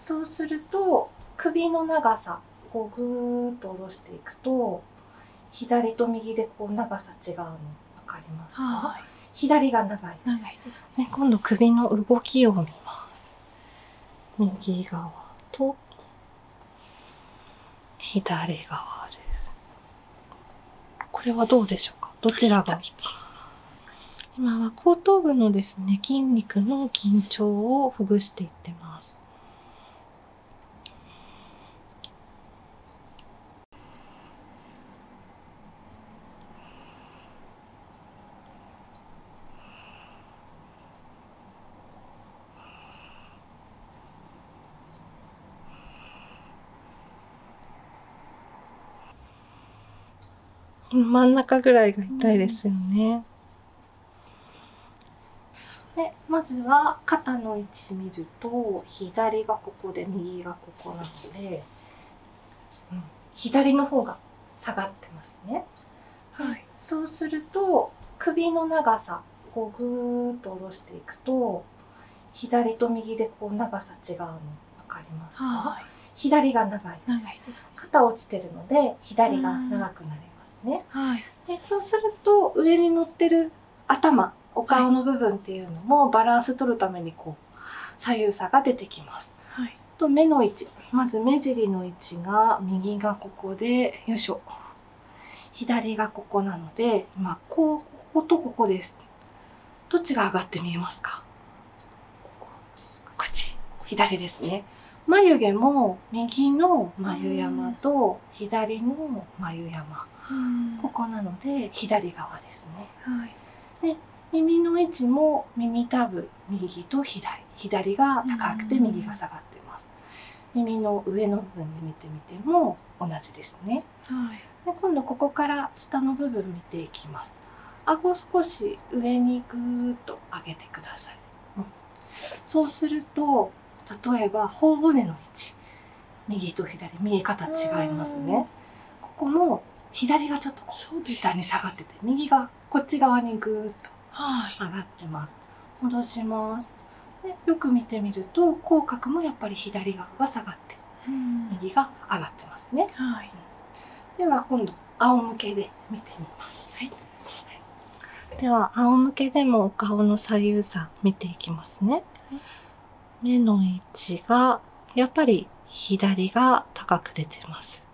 そうすると首の長さこうグーっと下ろしていくと左と右でこう長さ違うの分かりますか、左が長いですね今度首の動きを見ます右側と左側ですこれはどうでしょうかどちらが今は後頭部のですね筋肉の緊張をほぐしていってます真ん中ぐらいが痛いですよね。でまずは肩の位置見ると左がここで右がここなので、うん、左の方が下がってますね。はい、そうすると首の長さをぐーっと下ろしていくと左と右でこう長さ違うの分かりますか、左が長い肩落ちてるので左が長くなりますね、でそうすると上に乗ってる頭お顔の部分っていうのもバランス取るためにこう左右差が出てきます、と目の位置まず目尻の位置が右がここでよいしょ左がここなので今こうこことここですどっちが上がって見えますかこっち左ですね眉毛も右の眉山と左の眉山、ここなので左側ですね、で耳の位置も耳たぶ右と左左が高くて右が下がってます、耳の上の部分で見てみても同じですね、で今度ここから下の部分見ていきますます顎少し上にぐーっと上げてください、そうすると例えば頬骨の位置右と左見え方違いますねここも左がちょっと下に下がってて右がこっち側にぐーっと上がってます、戻しますよく見てみると口角もやっぱり左側が下がって右が上がってますね、では今度仰向けで見てみます。はいはい、では仰向けでもお顔の左右差見ていきますね。目の位置がやっぱり左が高く出てます。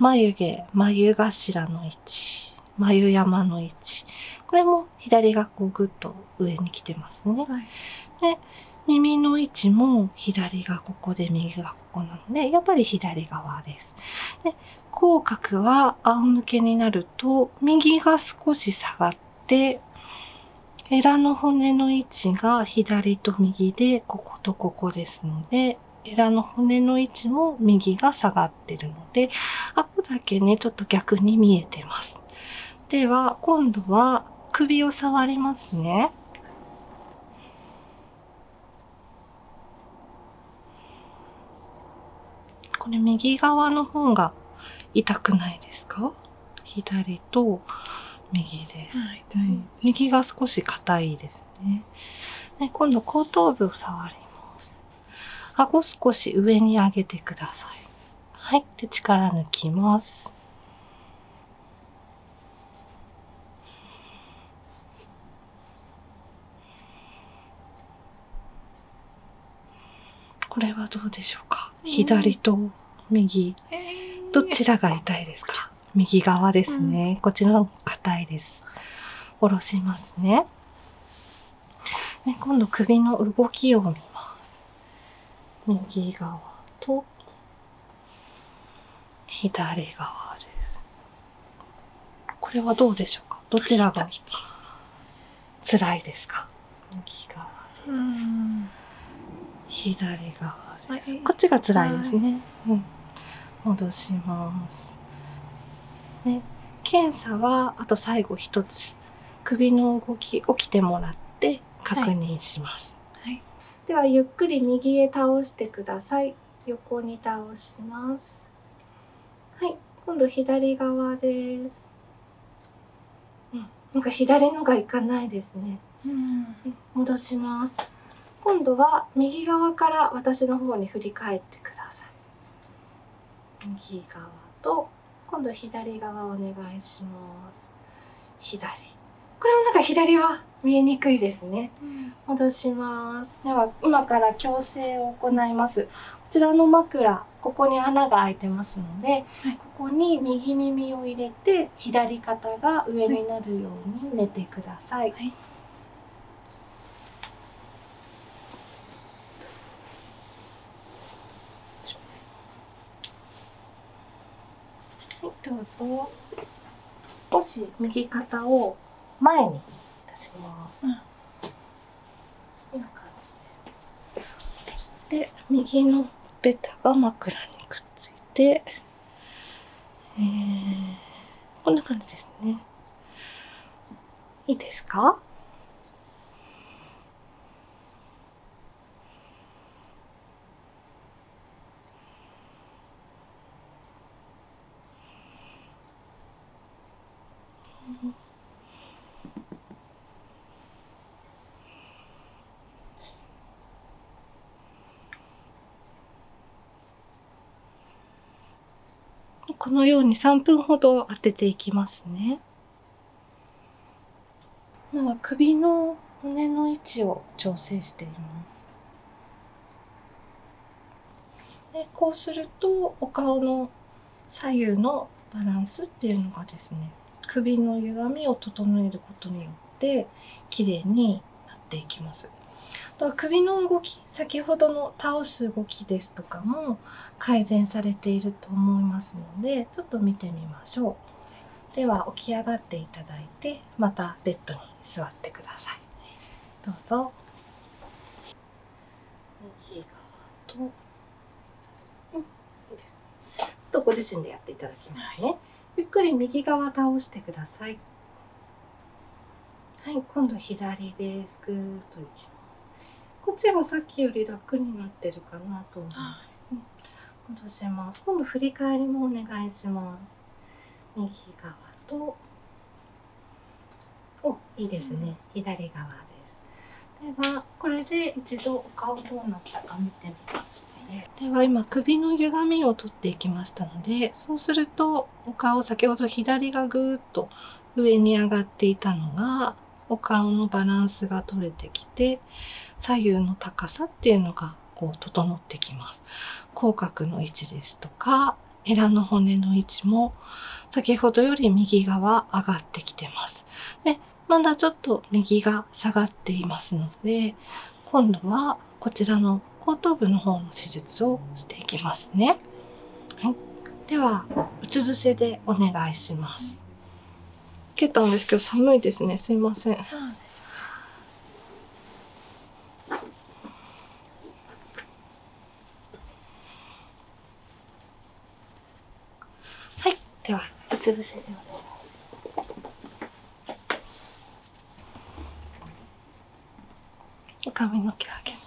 眉毛、眉頭の位置、眉山の位置。これも左がこうぐっと上に来てますね。で耳の位置も左がここで格好なのでやっぱり左側です。で口角は仰向けになると右が少し下がってエラの骨の位置が左と右でこことここですのでエラの骨の位置も右が下がってるので顎だけねちょっと逆に見えてます。では今度は首を触りますね。これ右側の方が痛くないですか左と右です、右が少し硬いですねで今度後頭部を触ります顎少し上に上げてくださいはいで力抜きますこれはどうでしょうか、左と右、どちらが痛いですか右側ですね、こちらの硬いです下ろしますね今度首の動きを見ます右側と左側です。これはどうでしょうかどちらが辛いですか右側う左側でこっちが辛いですね。うん、戻します。ね、検査はあと最後一つ首の動き起きてもらって確認します。はいではゆっくり右へ倒してください。横に倒しますはい今度左側です、なんか左のがいかないですね、戻します今度は右側から私の方に振り返ってください右側と今度左側お願いします左これもなんか左は見えにくいですね、戻しますでは今から矯正を行いますこちらの枕ここに穴が開いてますので、ここに右耳を入れて左肩が上になるように寝てくださいはいどうぞもし右肩を前に出します、こんな感じでそして右のベタが枕にくっついて、えこんな感じですねいいですかこのように3分ほど当てていきますね。今は首の骨の位置を調整しています。でこうするとお顔の左右のバランスっていうのがですね首の歪みを整えることによって綺麗になっていきます。と首の動き先ほどの倒す動きですとかも改善されていると思いますのでちょっと見てみましょうでは起き上がっていただいてまたベッドに座ってくださいどうぞ右側ととご自身でやっていただきますね、ゆっくり右側倒してくださいはい今度左ですぐっといきますこっちがさっきより楽になってるかなと思います、ね、戻します今度振り返りもお願いします右側とおいいですね、左側ですではこれで一度お顔どうなったか見てみますねでは今首の歪みを取っていきましたのでそうするとお顔先ほど左がぐーっと上に上がっていたのがお顔のバランスが取れてきて左右の高さっていうのがこう整持っきます。口角の位置ですとか、エラの骨の位置も先ほどより右側上がってきてます。で、まだちょっと右が下がっていますので、今度はこちらの後頭部の方の手術をしていきますね。はい。では、うつ伏せでお願いします。受けたんですけど寒いですね。すいません。はいではうつ伏せでお願います髪の毛をあげます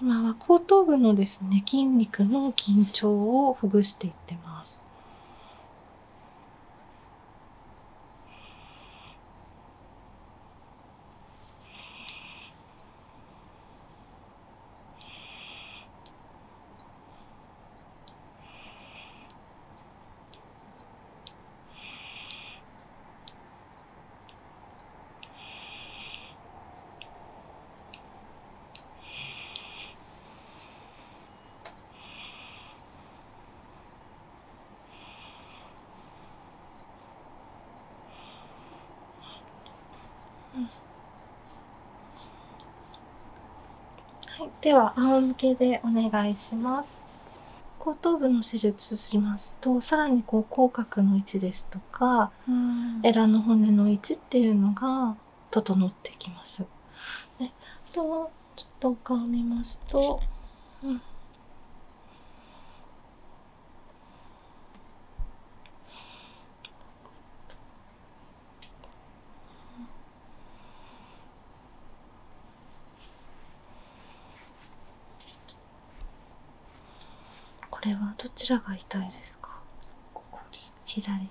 今は後頭部のですね筋肉の緊張をほぐしていってます。はい、では仰向けでお願いします。後頭部の施術しますとさらにこう口角の位置ですとか、うん、エラの骨の位置っていうのが整ってきます。ね、あとはちょっとお顔を見ますと、うん、これはどちらが痛いですか左、うん、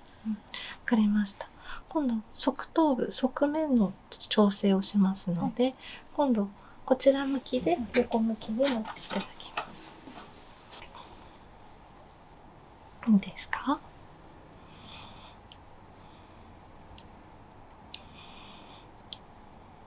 かりました今度側頭部側面の調整をしますので、今度こちら向きで横向きで持っていただきますいいですか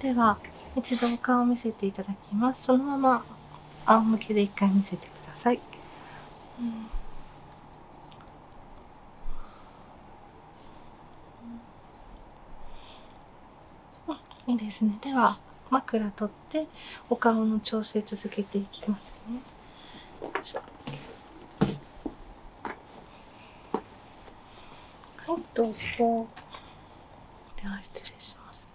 では一度お顔を見せていただきますそのまま仰向けで一回見せてください、うんいいですね。では枕取ってお顔の調整続けていきますね。はい、どうぞ。では失礼しますね。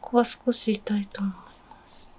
ここは少し痛いと思います。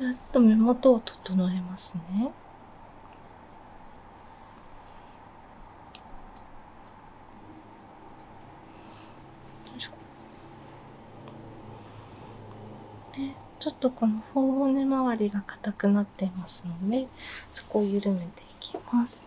ではちょっと目元を整えますね。でちょっとこの頬骨周りが硬くなっていますのでそこを緩めていきます。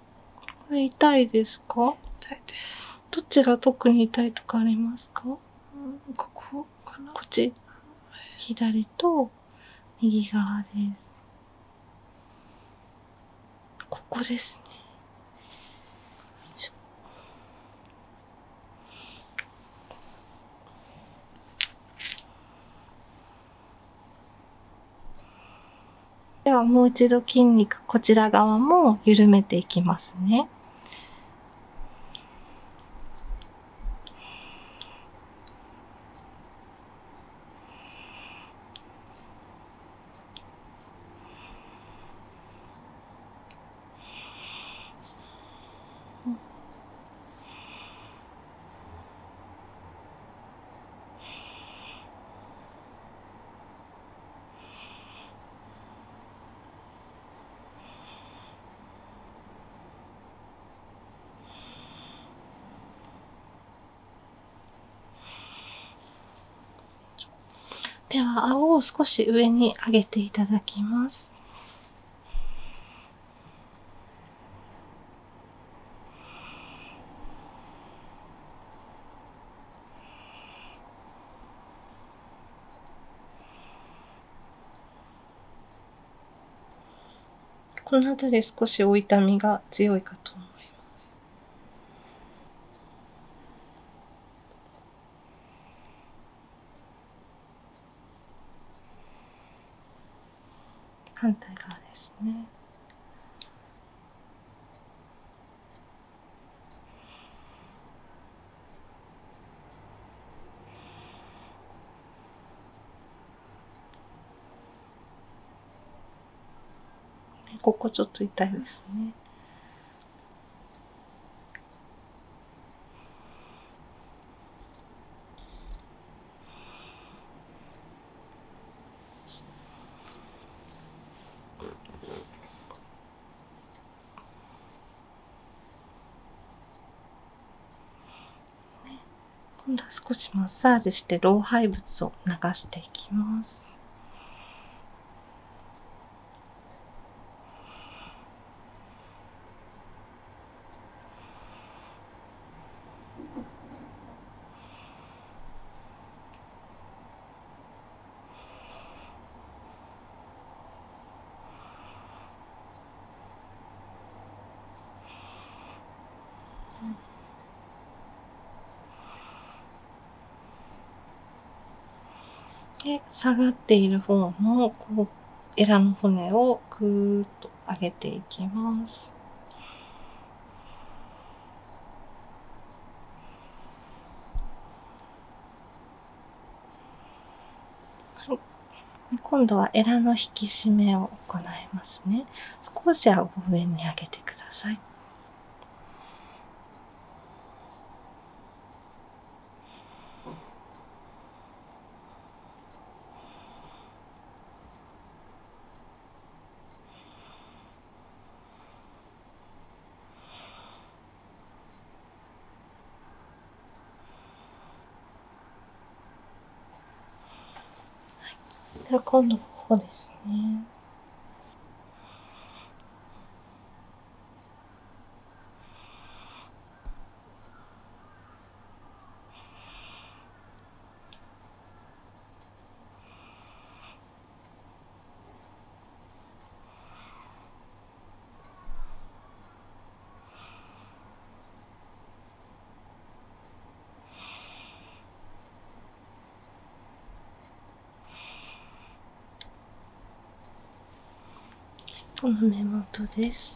これ痛いですかどっちが特に痛いとかありますかこっち。左と右側です。ここですね。ではもう一度筋肉こちら側も緩めていきますね。では、青を少し上に上げていただきます。この辺り少しお痛みが強いかと思います。反対側ですね。ここちょっと痛いですね。今度は少しマッサージして老廃物を流していきます。で下がっている方のこうエラの骨をぐーッと上げていきます。はい、今度はエラの引き締めを行いますね少しは上に上げてくださいでは今度ここですね。この目元です。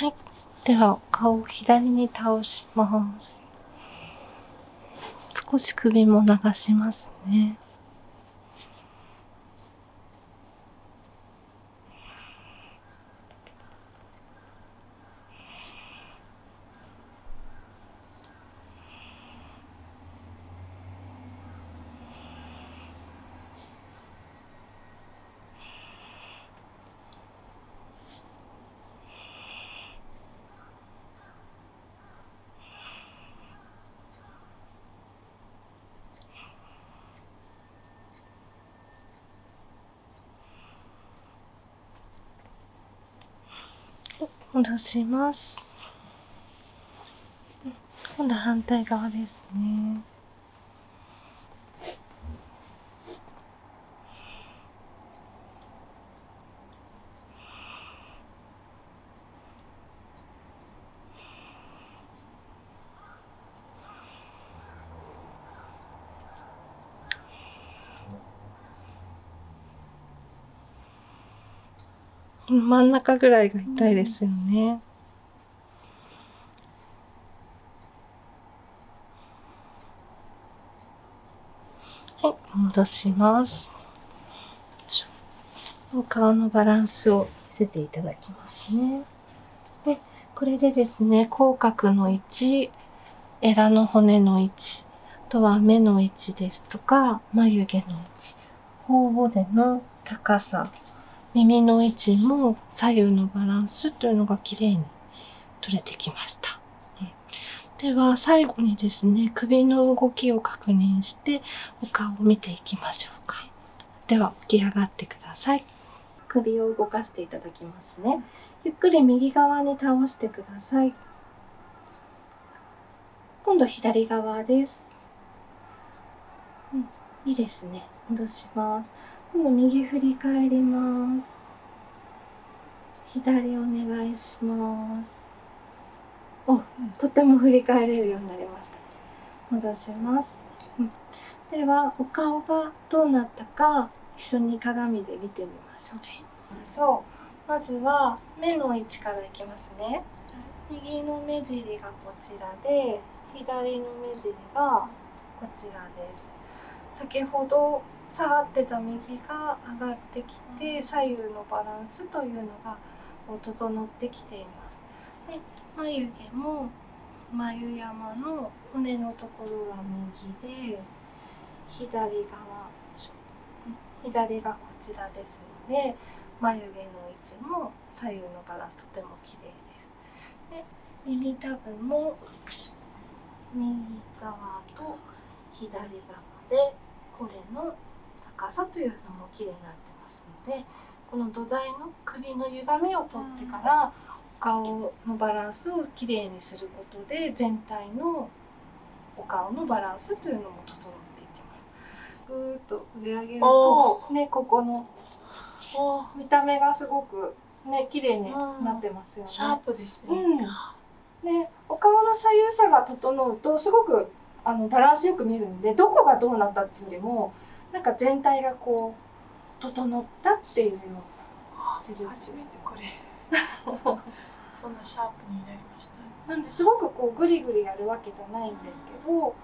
はい。では、顔を左に倒します。少し首も流しますね戻します。今度反対側ですね。真ん中ぐらいが痛いですよね。はい、戻します。お顔のバランスを見せていただきますね。で、これでですね、口角の位置、エラの骨の位置、あとは目の位置ですとか、眉毛の位置、頬骨の高さ、耳の位置も左右のバランスというのが綺麗に取れてきました。では最後にですね首の動きを確認してお顔を見ていきましょうかでは起き上がってください首を動かしていただきますねゆっくり右側に倒してください今度左側です、うん、いいですね戻します今度右振り返ります左お願いしますをとても振り返れるようになりました戻します、ではお顔がどうなったか一緒に鏡で見てみましょう、まずは目の位置からいきますね右の目尻がこちらで左の目尻がこちらです先ほど下がってた右が上がっき左右のバランスというのが整ってきています。で眉毛も眉山の骨のところが右で左側左がこちらですので眉毛の位置も左右のバランスとても綺麗です。で右タブも右側と左側でこれの高さというのもきれいになってますのでこの土台の首の歪みを取ってから、お顔のバランスをきれいにすることで全体のお顔のバランスというのも整っていきます。ぐっと上上げるとねここの見た目がすごくね綺麗になってますよね。ね。うんでお顔の左右差が整うとすごくあのバランスよく見るんでどこがどうなったっていうよりもなんか全体がこう整ったっていうような施術です、ね。これ そんなシャープになりました、なんですごくこうグリグリやるわけじゃないんですけど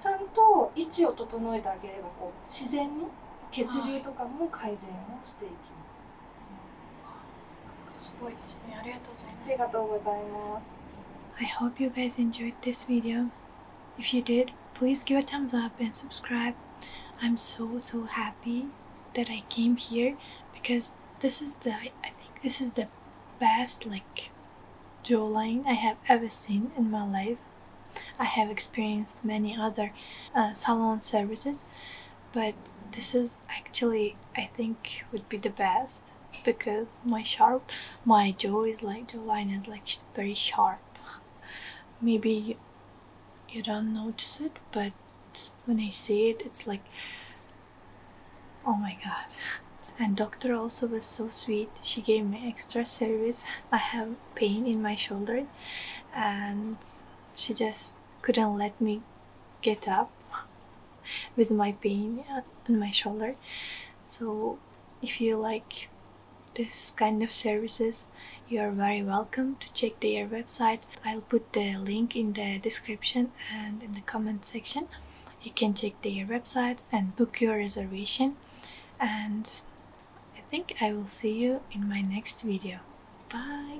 ちゃんと位置を整えてあげればこう自然に血流とかも改善をしていきます。I hope you guys enjoyed this video. If you did, please give a thumbs up and subscribe. I'm so so happy that I came here because this is the I think this is the best like jawline I have ever seen in my life. I have experienced many other uh, salon services but this is actually I think would be the best because my sharp my jaw is like the line is like very sharp maybe you don't notice it but when I see it it's like oh my god and doctor also was so sweet she gave me extra service I have pain in my shoulder and she just couldn't let me get up with my pain on my shoulder so if you like this kind of services you are very welcome to check their website i'll put the link in the description and in the comment section you can check their website and book your reservation and i think i will see you in my next video bye